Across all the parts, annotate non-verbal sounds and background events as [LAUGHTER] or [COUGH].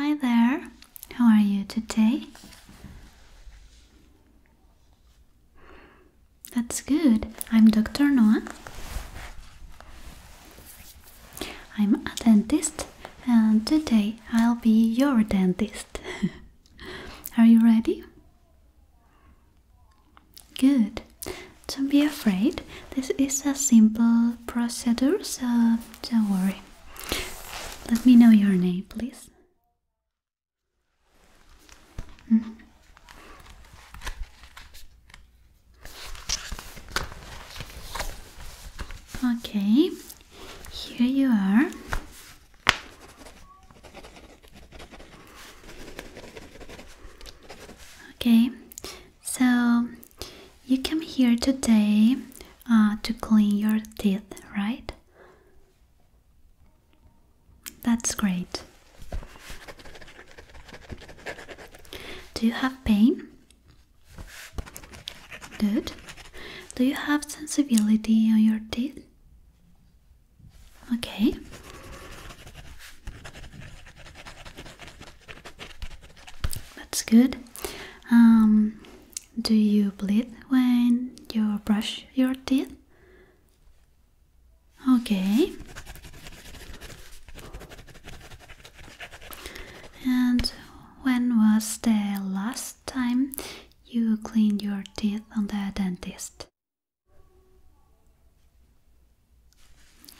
Hi there, how are you today? That's good. I'm Dr. Noah. I'm a dentist and today I'll be your dentist. [LAUGHS] are you ready? Good. Don't be afraid. This is a simple procedure, so don't worry. Let me know your name, please. Mm-hmm. Okay, here you are. Okay, so you came here today uh, to clean your teeth, right? That's great. Do you have pain? Good. Do you have sensibility on your teeth? Okay. That's good. Um, do you bleed when you brush your teeth? Okay. And when was the last time you cleaned your teeth on the dentist?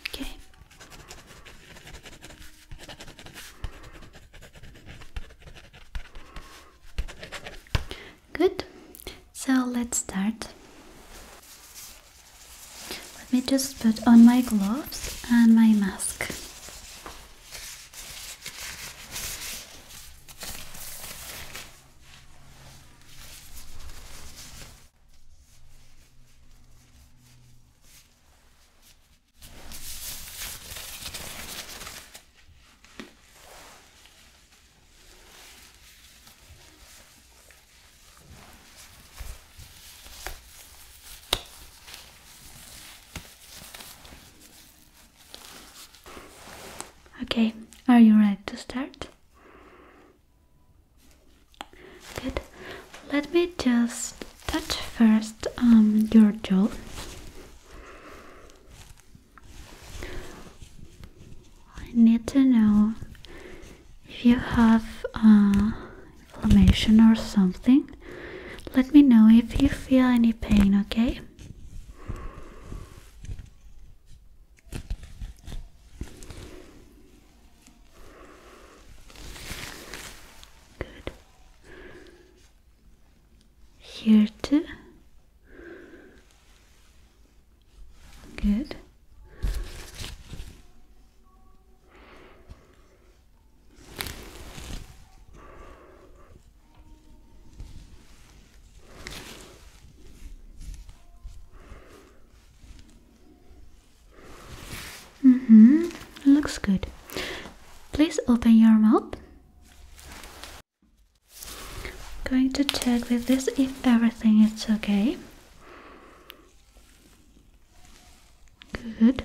Okay. Good. So let's start. Let me just put on my gloves and my mask. Okay, are you ready to start? Good. Let me just touch first um, your jaw. I need to know if you have uh, inflammation or something. Let me know if you feel any pain, okay? Good. Here too. Good. Mm-hmm. Looks good. Please open your mouth. Going to check with this if everything is okay. Good.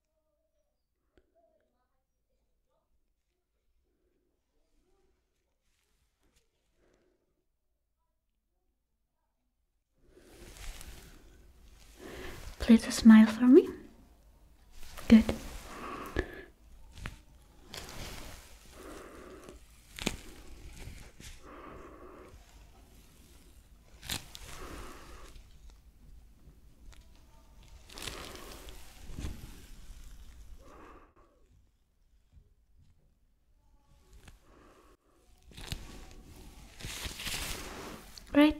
Please smile for me. Good. Right.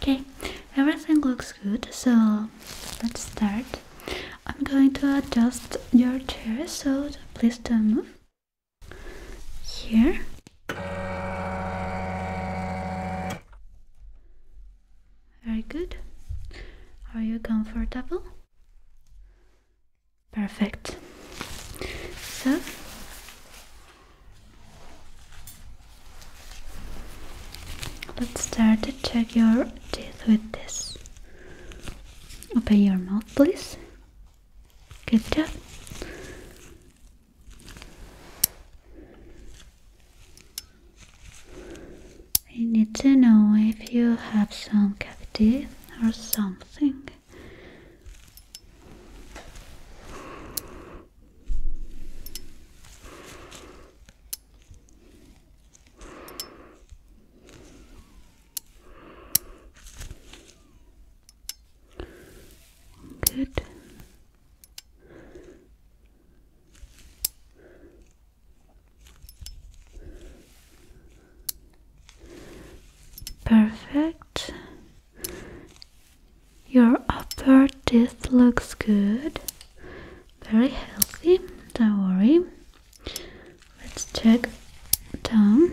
Okay, everything looks good, so let's start. I'm going to adjust your chair, so please don't move here very good are you comfortable perfect so let's start to check your teeth with this open your mouth please Good job. I need to know if you have some cavity or something. Good. Perfect. Your upper teeth looks good. Very healthy, don't worry. Let's check down.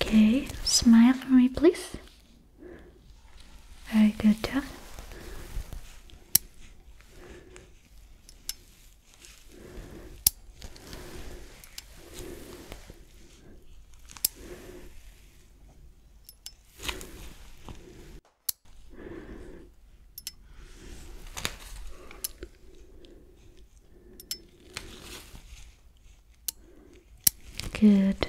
Okay, smile for me, please. Very good job. Good.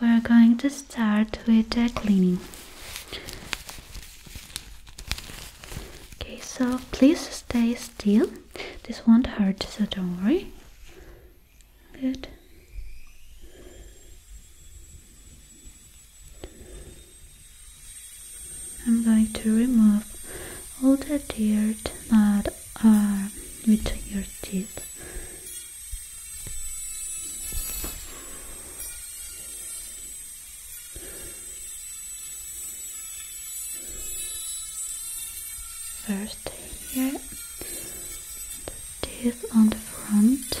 We're going to start with the cleaning. Okay, so please stay still. This won't hurt, so don't worry. Good. I'm going to remove all the dirt that are between your teeth. First here, the teeth on the front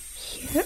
here. Good.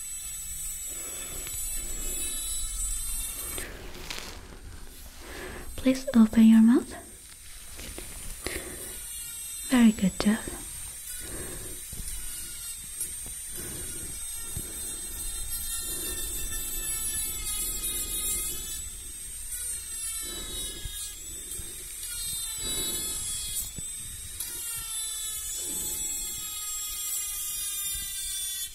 Please open your mouth. Very good job.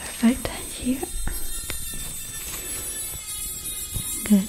Perfect here. Good.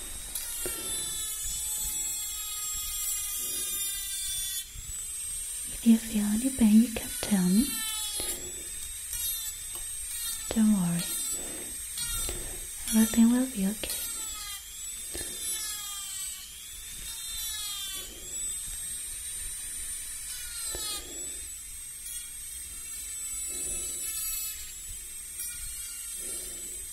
If you feel any pain, you can tell me. Don't worry, everything will be okay.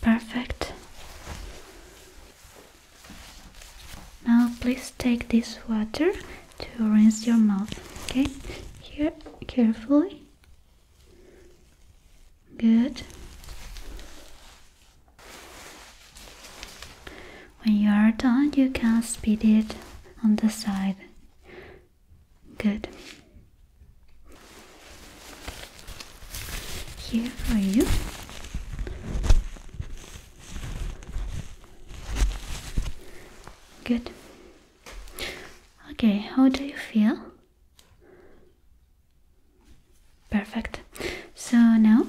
Perfect. Now please take this water to rinse your mouth, okay? Here, carefully. Good. When you are done, you can spit it on the side. Good. Here are you. Good. Okay, how do you feel? Perfect. So now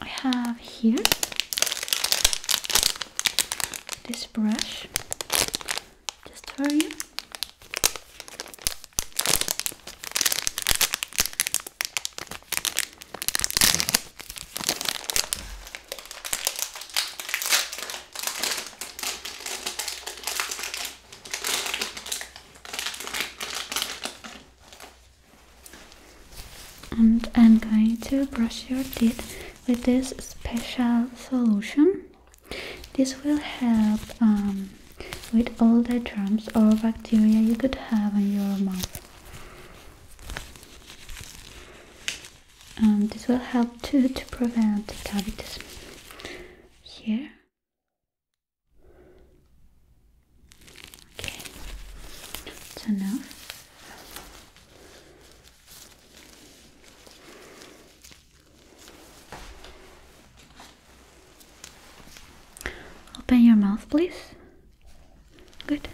I have here this brush just for you. And I'm going to brush your teeth with this special solution. This will help um, with all the germs or bacteria you could have in your mouth. Um, this will help too to prevent cavities. Here. Okay, enough. Open your mouth, please. Good.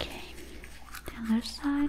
Okay, the other side.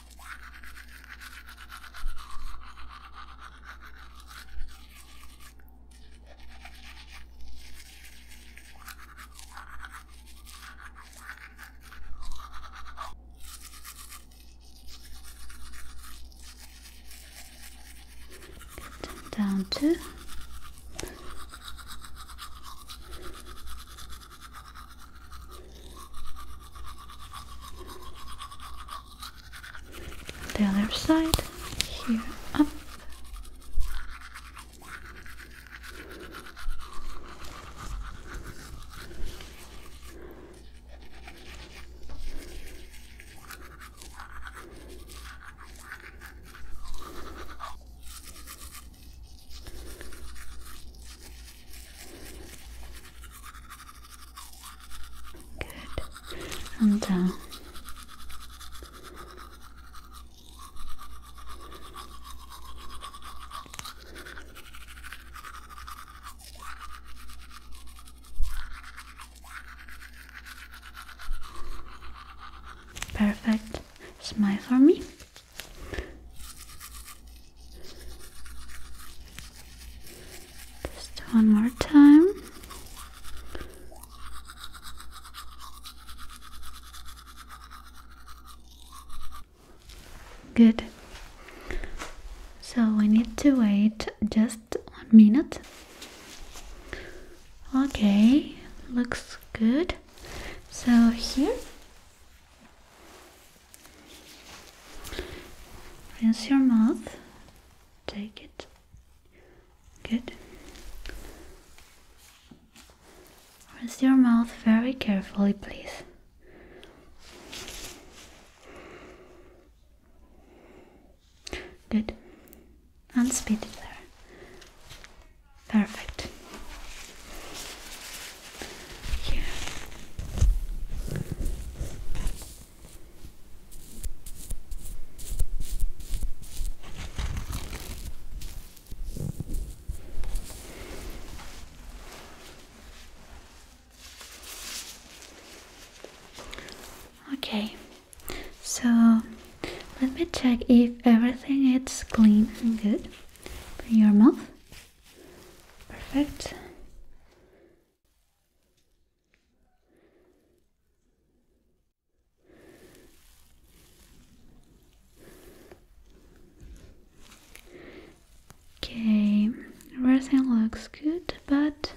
down to the other side here up Good. And down. Uh, perfect. Smile for me. Just one more time. Good. So we need to wait just one minute. Okay, looks good. So here Rinse your mouth. Take it. Good. Rinse your mouth very carefully, please. Good. And spit it there. Perfect. Yeah. Okay, so let me check if everything is clean and good for your mouth. Perfect. Okay, everything looks good, but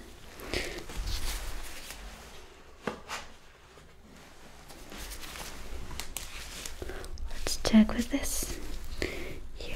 let's check with this here.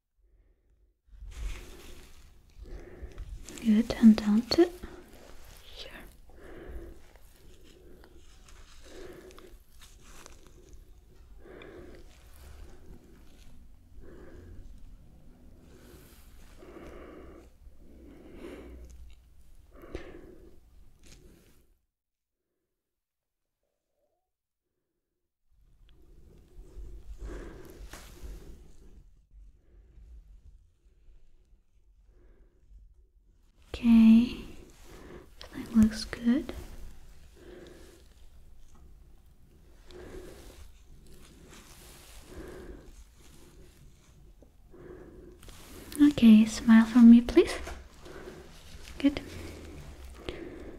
Good, and down to here. Okay, that looks good. Okay, smile for me, please. Good.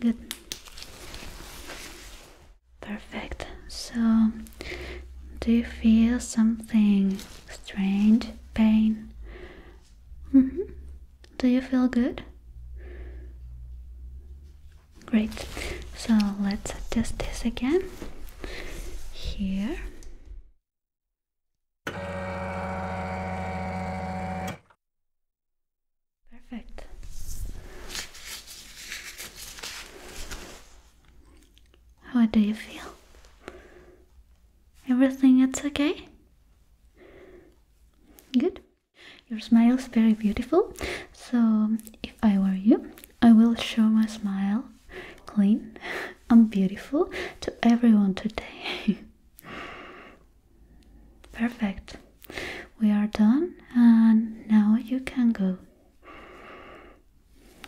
Good. Perfect. So, do you feel something strange? Pain? Mm-hmm. Do you feel good? Great. So let's test this again. Here. Perfect. How do you feel? Everything it's okay? Good. Your smile is very beautiful. So, if I were you, I will show my smile clean [LAUGHS] and beautiful to everyone today. [LAUGHS] Perfect. We are done, and now you can go.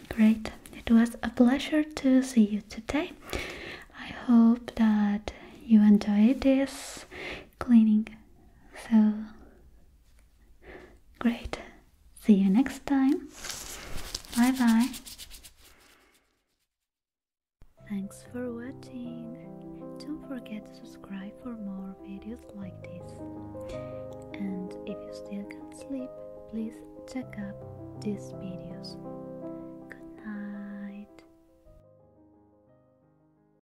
Great. It was a pleasure to see you today. I hope that you enjoyed this cleaning. So, Great. See you next time. Bye bye. Thanks for watching. Don't forget to subscribe for more videos like this. And if you still can't sleep, please check out these videos. Good night.